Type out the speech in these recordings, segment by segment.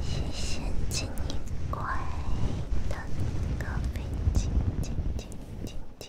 谢谢金衣柜的咖啡机，金金金金金。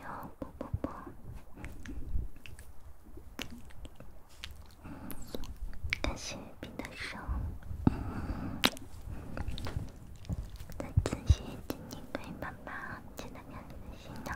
哟，不不不，感谢皮德生，再仔细亲一个，爸爸记得看仔细了。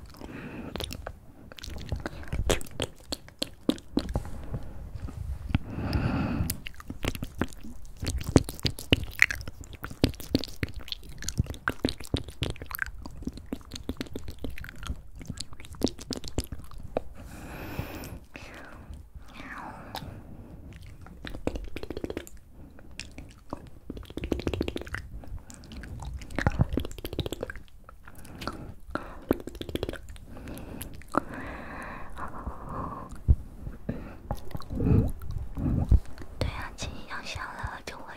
对呀，亲，绪要笑了就会。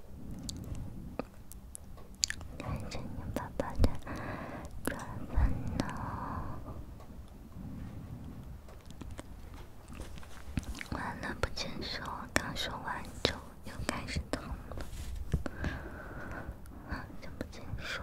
感谢你爸爸的转发呢。完了，不接受，刚说完就又开始疼了，不接受。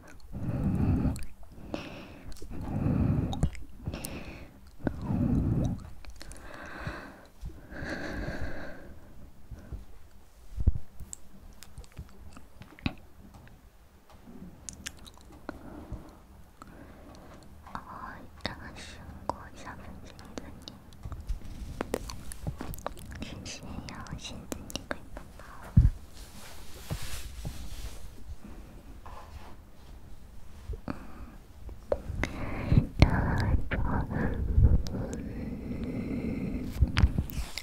我要先过小粉子的你，先要先做你闺蜜。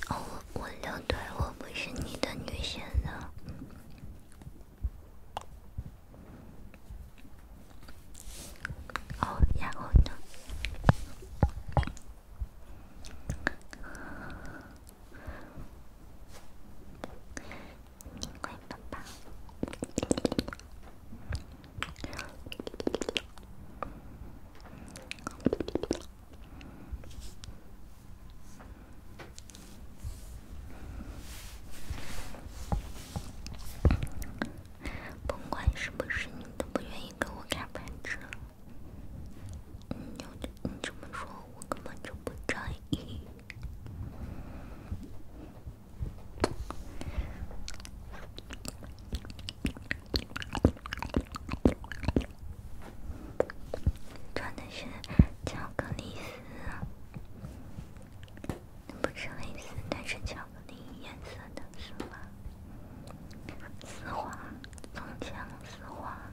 哦，我留队，我不是你的女神了。哦，然后呢？甭管是不是，你都不愿意跟我开白车。你你这么说，我根本就不在意。穿的是巧克力丝，不是黑丝，但是巧克力颜色的丝袜，丝滑，从前丝滑。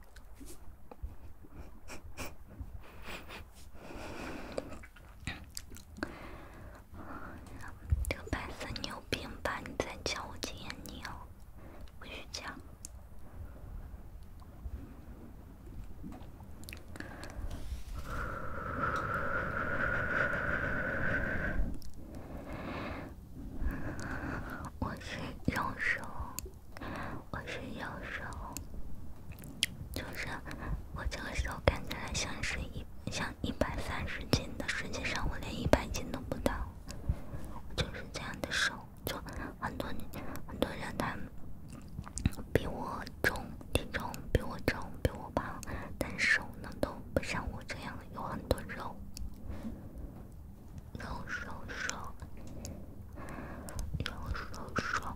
这个白色，你有病吧？你在叫我经验？你哦，不许教！我是用手。我是有时候，就是我这个时候看起来像是一像一百三十斤的实际上，我连一百斤都不到，就是这样的瘦，就很多女很多人，他们比我重，体重比我重，比我胖，但是呢都不像我这样有很多肉。用手手，用手手。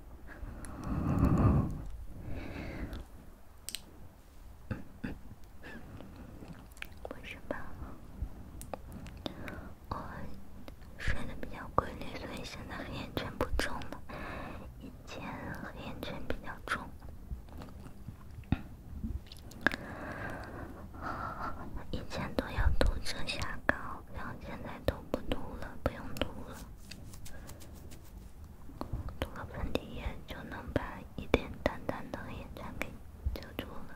为什么？我睡得比较规律，所以现在黑眼圈不重了。以前黑眼圈比较重，以前都要涂遮瑕膏，然后现在都不涂了，不用涂了。涂个粉底液就能把一点淡淡的黑眼圈给遮住了。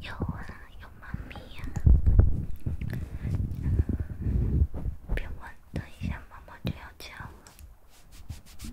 有啊，有妈咪呀！别问，等一下妈妈就要叫了。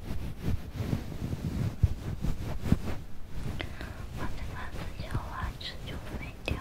我的蓝子，小花子就飞掉了。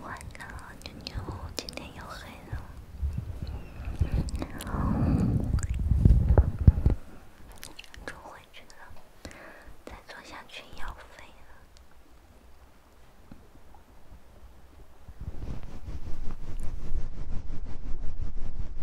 欢迎妞妞，今天又黑了。坐回去了，再坐下去要飞了。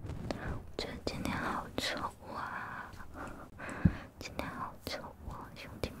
我觉得今天好丑啊！今天好丑啊，兄弟们。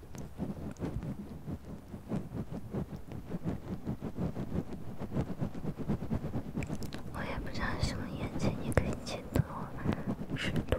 我也不太什么眼睛，你可以截图、视图、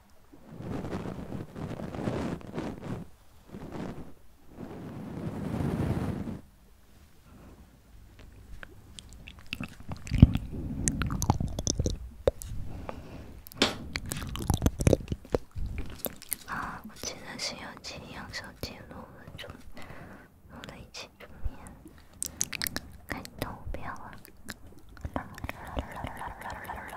啊！我现在是要记两手记录，准备一起准备，看投票啊！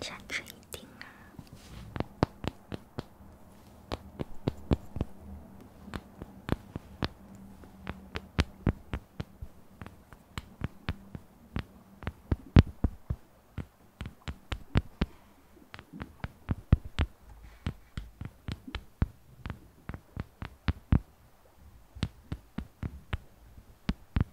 下次一定啊。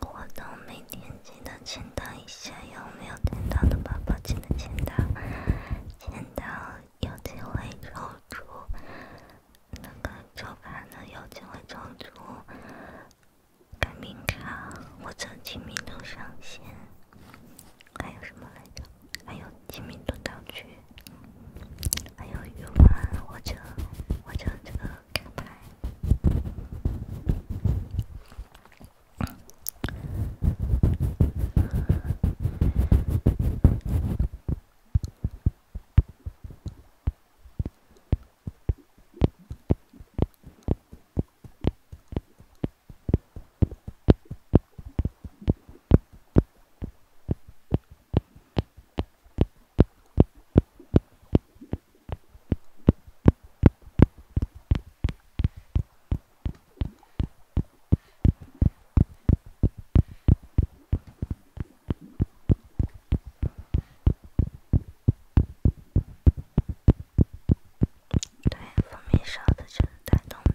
我到每天记得签到一下，有没有签到的宝宝记得签到？签到有机会抽出那个抽卡的，有机会抽出改名卡或者金明通上线。还有什么来着？还有。清明蹲道具，还有鱼丸，或者或者这个卡牌。对，蜂蜜烧的就是带动的。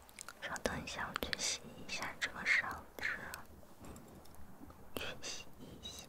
稍等一下，我去洗一下这个嗓子，去洗一下，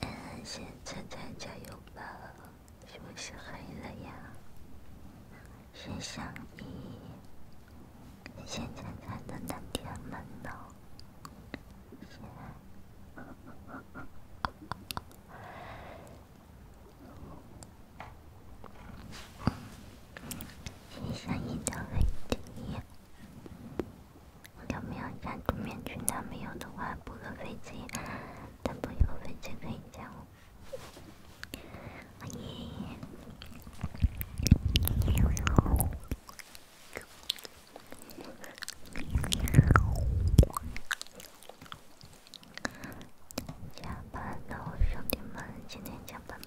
嗯，先灿灿，加油吧！是不是黑了呀？先想你，先灿灿的那天吗？喏，先想你的飞机，有没有穿住面裙？他没有的话，补个飞机。等朋友分钱可以讲哦。阿姨下班了，兄弟们，今天下班了。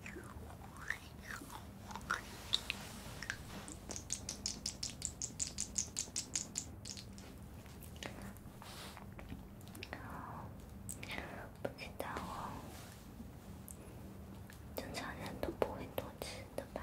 不知道哦，正常人都不会偷吃的吧？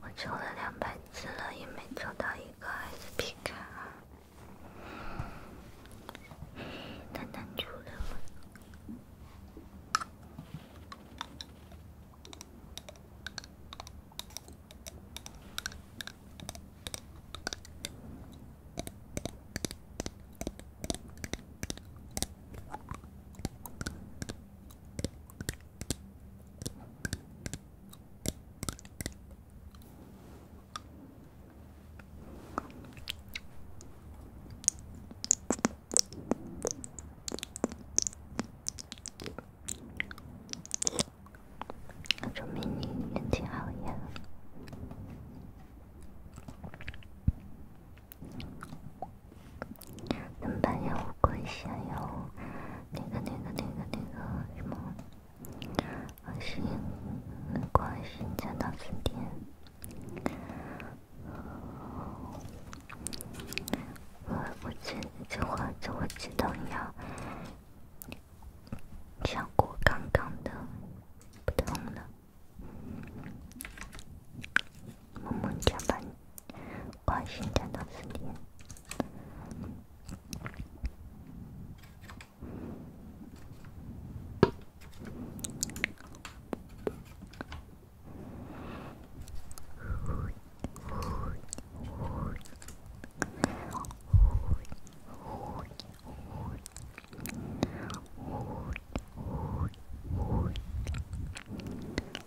我抽了两百次了，也没抽到一个 S p 卡，等等，抽了。证明你运气好呀！能白下乌龟虾，那个那个那个那个什么，爱心、南心加到四天。我我知这话，我知道你要想过刚刚的，不痛了。么么加班。关心在脑子里。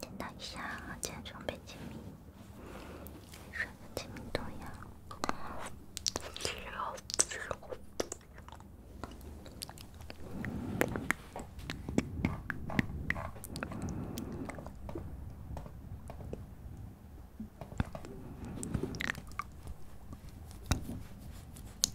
简单一下，先准备签名，水分、签名都要。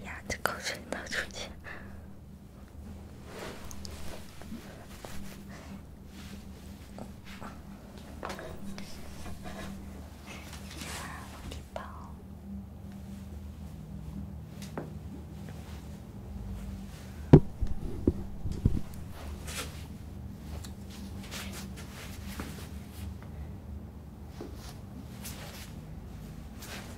哎呀，这口水倒出去。你好，宝。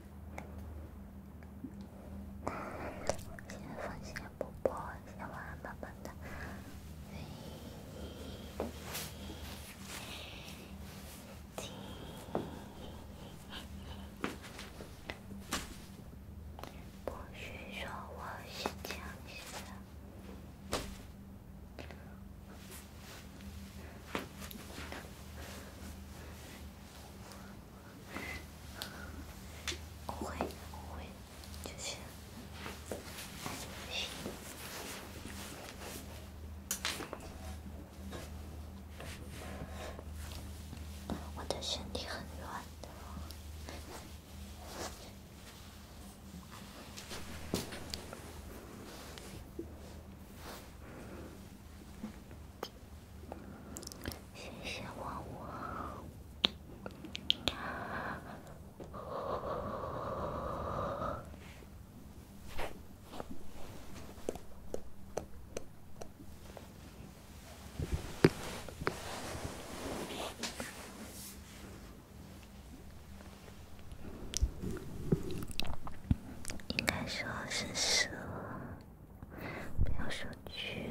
先放心不破，先玩慢慢的。不许说我是僵尸。我会，我会，就是，就是，我的身体很软的。谢谢，旺旺。应该说是蛇。不要说剧。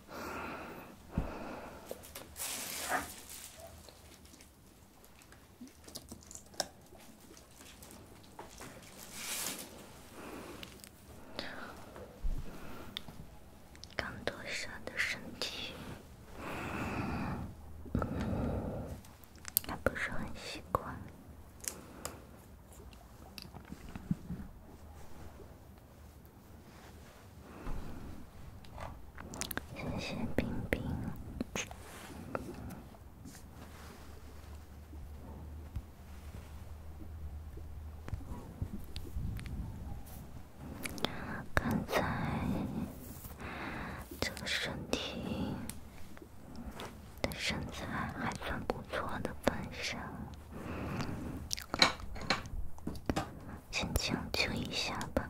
刚脱下的身体，还不是很习惯。谢谢冰冰。刚才这个身体的身材还算不错的本身。先将就一下吧。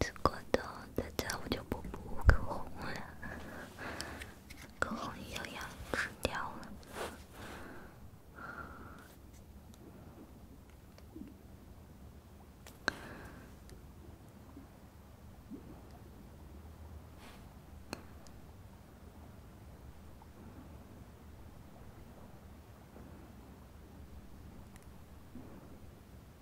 吃过的，再者我就不涂口红了，口红又要吃掉了。